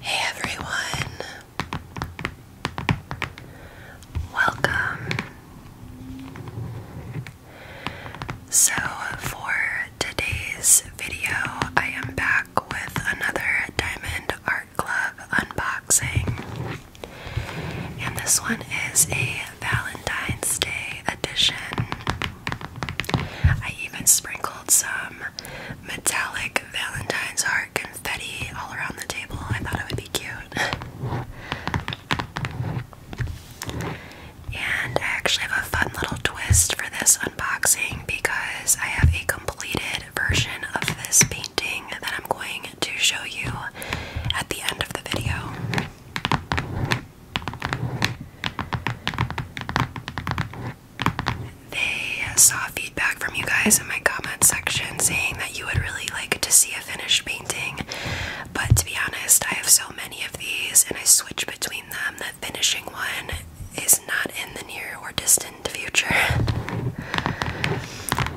Hey everyone, welcome. So, for today's video, I am back with another Diamond Art Club unboxing, and this one is a Valentine's Day edition. I even sprinkled some metallic Valentine's heart confetti all around the table. I thought it would be cute. And I actually have a fun little twist for this unboxing because I have a completed version of this painting that I'm going to show you at the end of the video. They saw feedback from you guys in my comment section saying that you would really like to see a finished painting, but to be honest, I have so many of these and I switch between them The finishing one is not in the near or distant future.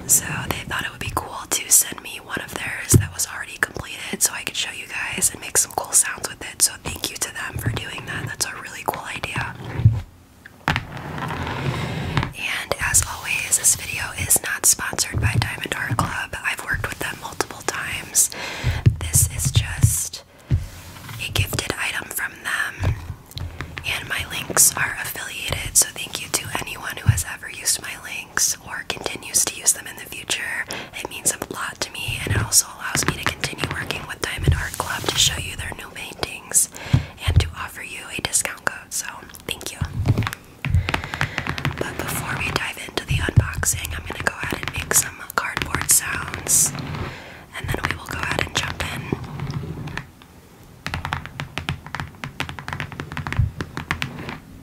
So they thought it would be cool to send me one of theirs that was already completed so I can show you guys and make some cool sounds with it. So thank you to them for doing that. That's a really cool idea. And as always, this video is not sponsored by Diamond Art Club. I've worked with them multiple times. This is just a gifted item from them. And my links are affiliated, so thank you to anyone who has ever used my links or continues to use them in the future. It means a lot to me, and it also allows me to continue working with Diamond Art Club to show you their new paintings and to offer you a discount code. So, thank you. But before we dive into the unboxing, I'm going to go ahead and make some cardboard sounds, and then we will go ahead and jump in.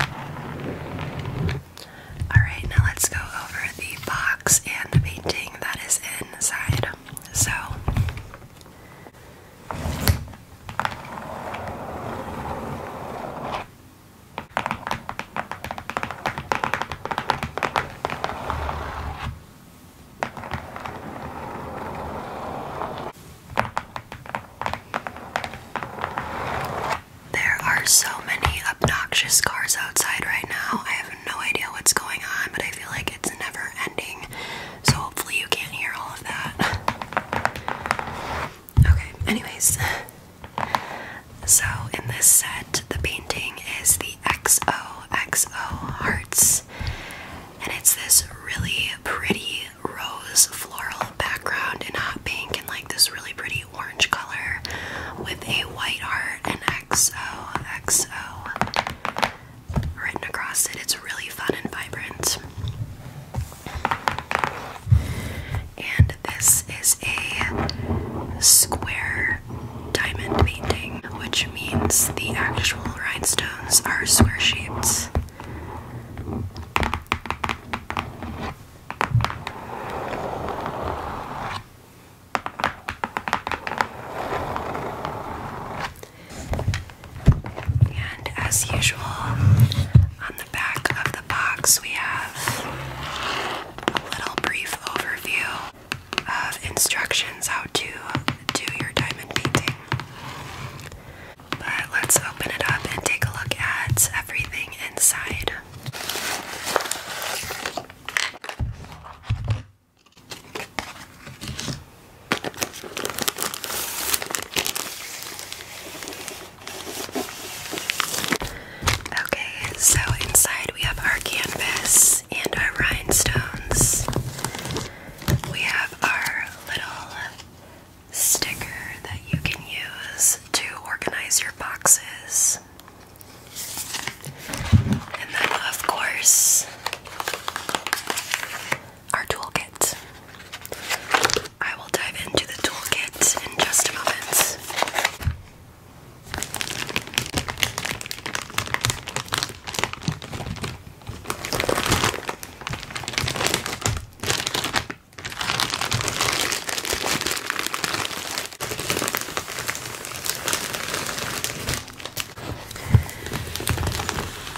Alright, now let's go over the box and the painting that is inside. So, there are so many obnoxious cars outside right now. I have no idea what's going on, but I feel like it's never ending. So hopefully you can't hear all of that. Okay, anyways. So in this set, the painting is the XOXO Hearts. And it's this really pretty rose floral background in hot pink and like this really pretty orange color with a white heart and XOXO written across it. It's really fun and vibrant. And this is a square diamond painting, which means the actual rhinestones are square shaped. And as usual, on the back of the box, we have a little brief overview of instructions how to do your diamond painting. But let's open it up and take a look at everything inside. Okay, so inside we have our canvas and our rhinestones. We have our little sticker that you can use to organize your boxes. And then, of course, our toolkit. I will dive into the toolkit in just a moment.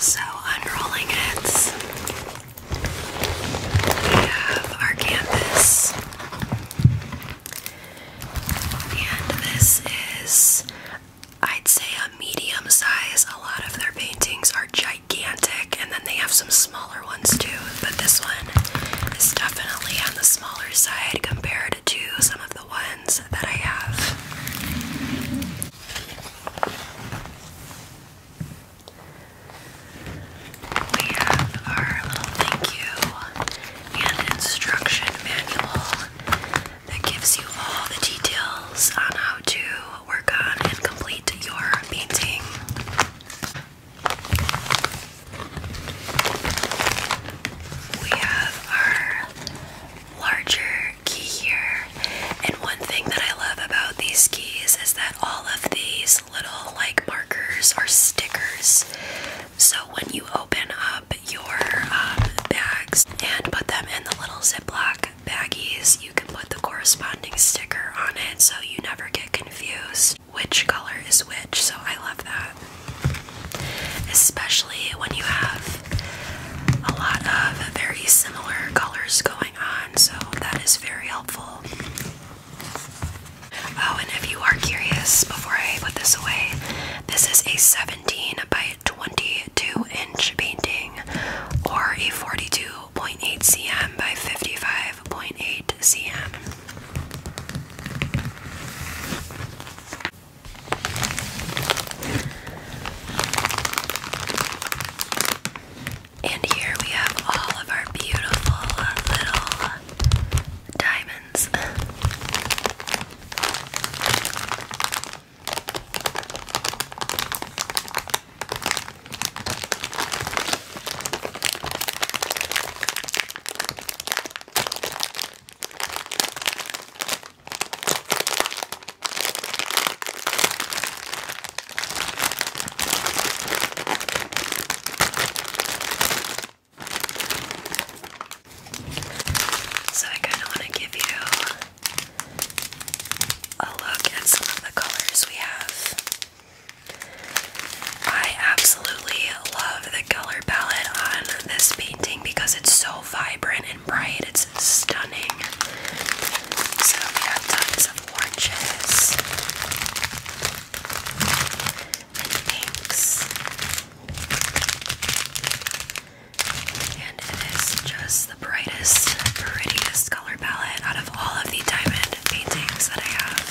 So, unrolling it, we have our canvas, and this is, I'd say, a medium size. A lot of their paintings are giant gigantic, and then they have some smaller ones too. But this one is definitely on the smaller side compared to some of the ones that I have. We have our little thank you and instruction manual that gives you all the details on how to work on and complete your painting. We have our larger key here, and one thing that I love about these keys is that all of these little like markers are stickers. So when you open up your um, bags and put them in the little ziploc baggies, you can put the corresponding sticker on it so you never get confused which color is which. So I love that. Especially when you have a lot of very similar colors going on, so that is very helpful. Oh, and if you are curious, before I put this away, this is a 17 by 22 inch painting or a 42.8 cm by 55.8 cm. And here we have all of our beautiful little diamonds. So I kind of want to give you a look at some of the colors we have. I absolutely love the color palette on this painting because it's so vibrant and bright. It's stunning. So we have tons of oranges pinks. And it is just the brightest, prettiest color palette out of all of the diamond paintings that I have.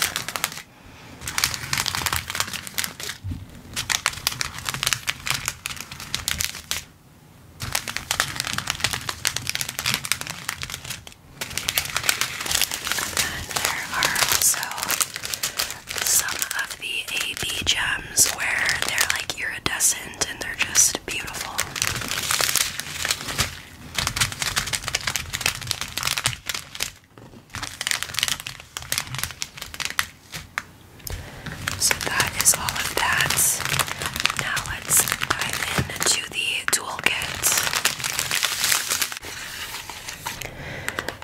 And there are also some of the AB gems where they're like iridescent and they're just so that is all of that. Now let's dive into the toolkit.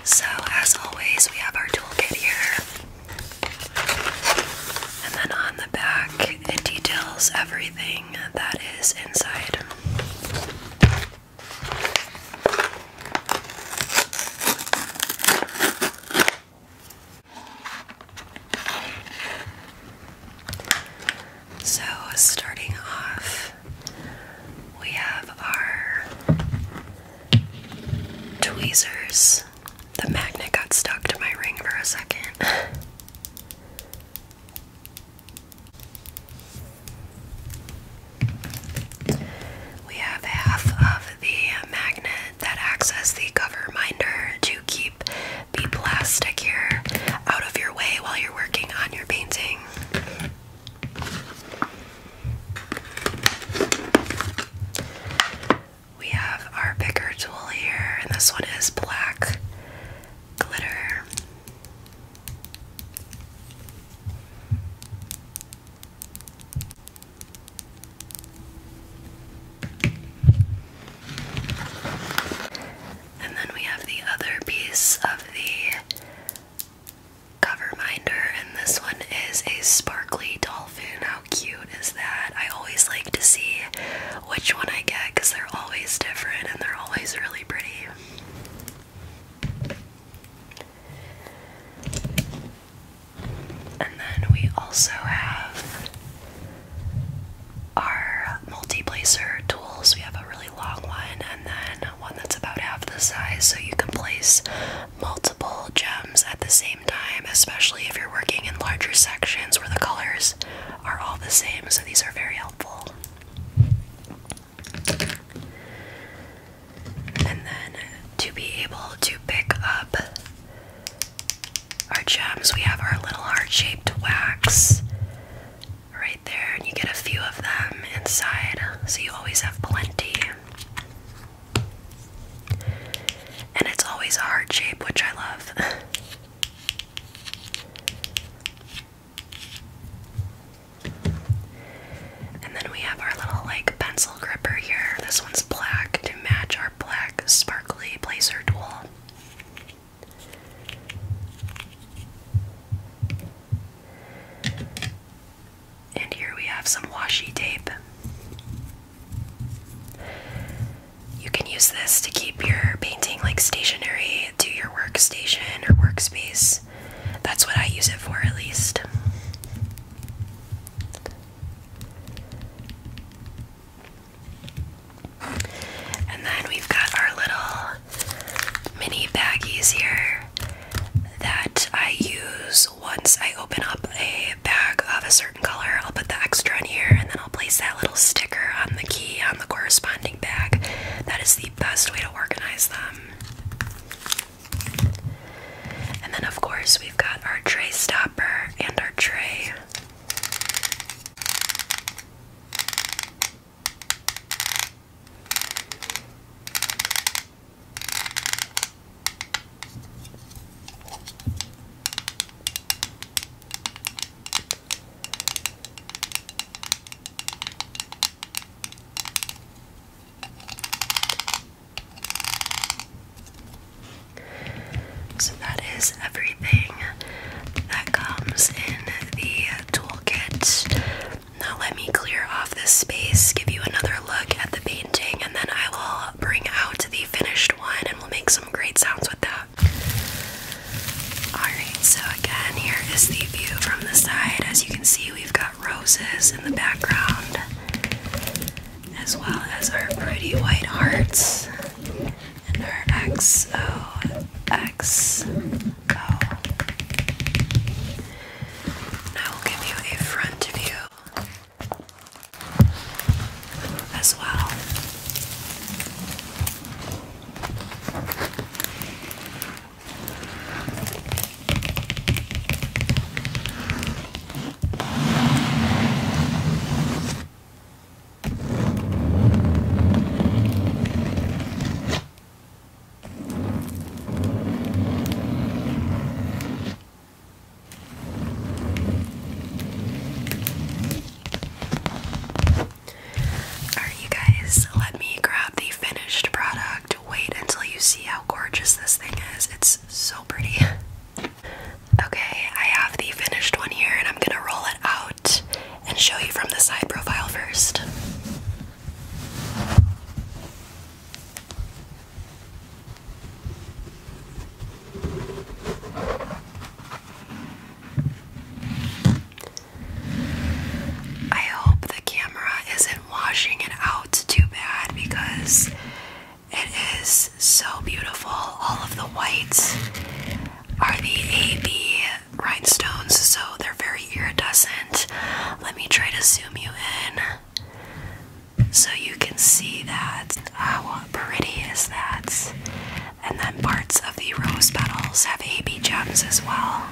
So as always, we have our toolkit here. And then on the back, it details everything that is inside. So, starting off, we have our tweezers the magnet got stuck to my ring for a second. we have half of the magnet that acts as the cover minder to keep the plastic here out of your way while you're working on your painting. We have our picker tool here, and this one is black glitter. And then we have the other piece of the cover minder, and this one is a sparkly doll how cute is that? I always like to see which one I get because they're always different and they're always really pretty. And then we also have our multi-placer tools. We have a really long one and then one that's about half the size so you can place multiple gems at the same time, especially if you're working in larger sections where the colors are all the same. So these are very helpful. And then to be able to pick up our gems, we have our little heart shaped wax right there, and you get a few of them inside, so you always have plenty. And it's always a heart shape, which I love. and then we have our little like pencil gripper here. This one's black to match our black sparkly placer tool. And here we have some washi tape. You can use this to keep your painting like stationary to your workstation or workspace. That's what I use it for at least. And then we've got our little mini baggies here that I use once I open up a bag of a certain color, I'll put the extra in here and then I'll place that little sticker on the key on the corresponding bag. That is the best way to organize them. And then, of course, we've got our tray stopper and our tray. So that is everything that comes in the toolkit. Now let me clear off this space, give you another look at the painting, and then I will bring out the finished one and we'll make some great sounds with that. Alright, so again, here is the view from the side. As you can see, we've got roses in the background, as well as our pretty white hearts and our XO. Now we'll give you a front view as well. Alright, you guys, let me grab the finished product. Wait until you see how gorgeous this thing is. It's so pretty. Okay, I have the finished one here, and I'm gonna roll it out and show you from the side profile first. I hope the camera isn't washing it out too bad because it is so beautiful. All of the whites are the AB rhinestones, so they're very iridescent. Let me try to zoom you in so you can see that. How pretty is that? And then parts of the rose petals have AB gems as well.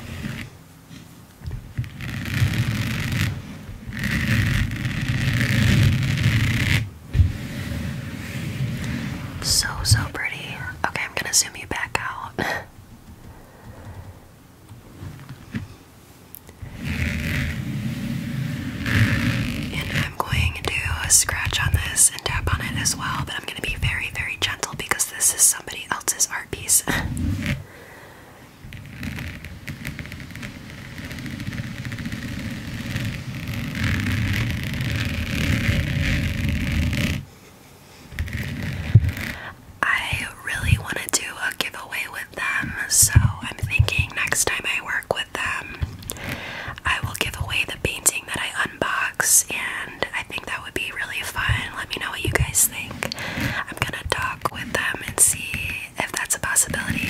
So, so pretty. Okay, I'm gonna zoom you back out. And I'm going to do a scratch on this and tap on it as well, but I'm going to be very, very gentle because this is somebody else's art piece. I really want to do a giveaway with them, so I'm thinking next time I work with them, I will give away the painting that I unbox, and I think that would be really fun. Let me know what you guys think. I'm gonna talk with them and see if that's a possibility.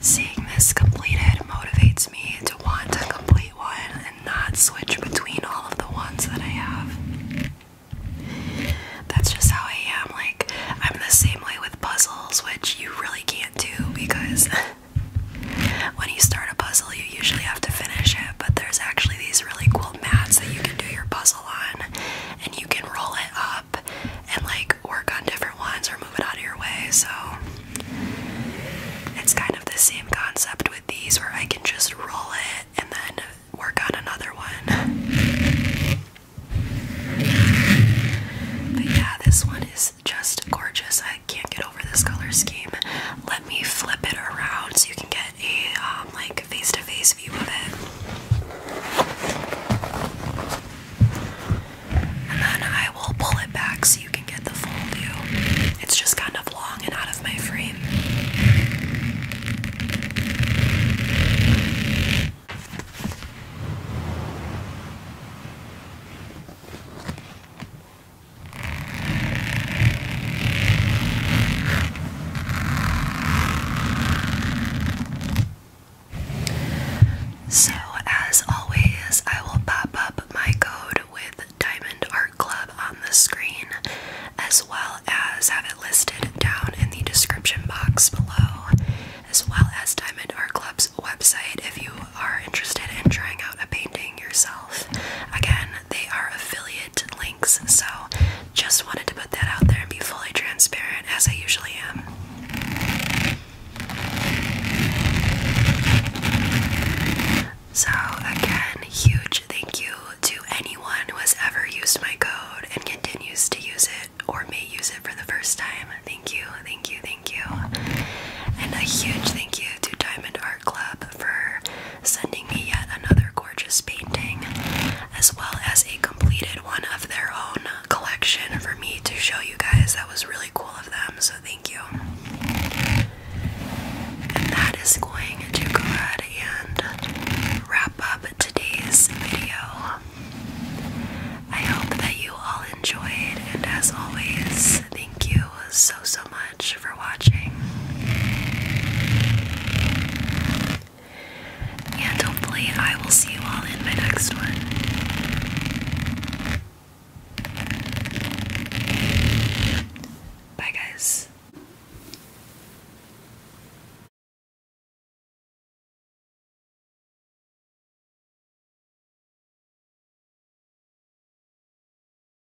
Seeing this completed motivates me to want to complete one and not switch between all of the ones that I have. That's just how I am. Like, I'm the same way with puzzles, which you really can't do because when you start a puzzle, you usually have to finish it. But there's actually these really cool little mats that you can do your puzzle on and you can roll it up and like work on different ones or move it out of your way. So it's kind of the same concept with these where I can just roll it and then work on another one. But yeah, this one is just gorgeous. I can't get over this color scheme. Let me flip it around so you can get a um, on like face to face view of it. And then I will pull it back so you can get the full view. It's just kind of long and out of my frame. So, as always, I will pop up my code with Diamond Art Club on the screen, as well as have it listed down in the description box below, as well as Diamond Art Club's website if you are interested in trying out a painting yourself. Again, they are affiliated links, so just wanted to put that out there and be fully transparent as I usually am. So, again, huge thank you to anyone who has ever used my code and continues to use it or may use it for the first time. Thank you, thank you, thank you. And a huge thank you to Diamond Art Club for sending me yet another gorgeous painting, as well as a completed one of their own collection for me to show you guys. That was really cool of them, so thank you. And that is going to go ahead and wrap up today's video. I hope that you all enjoyed, and as always, thank you so so much for watching. And hopefully, I will see you all in my next one. Bye, guys.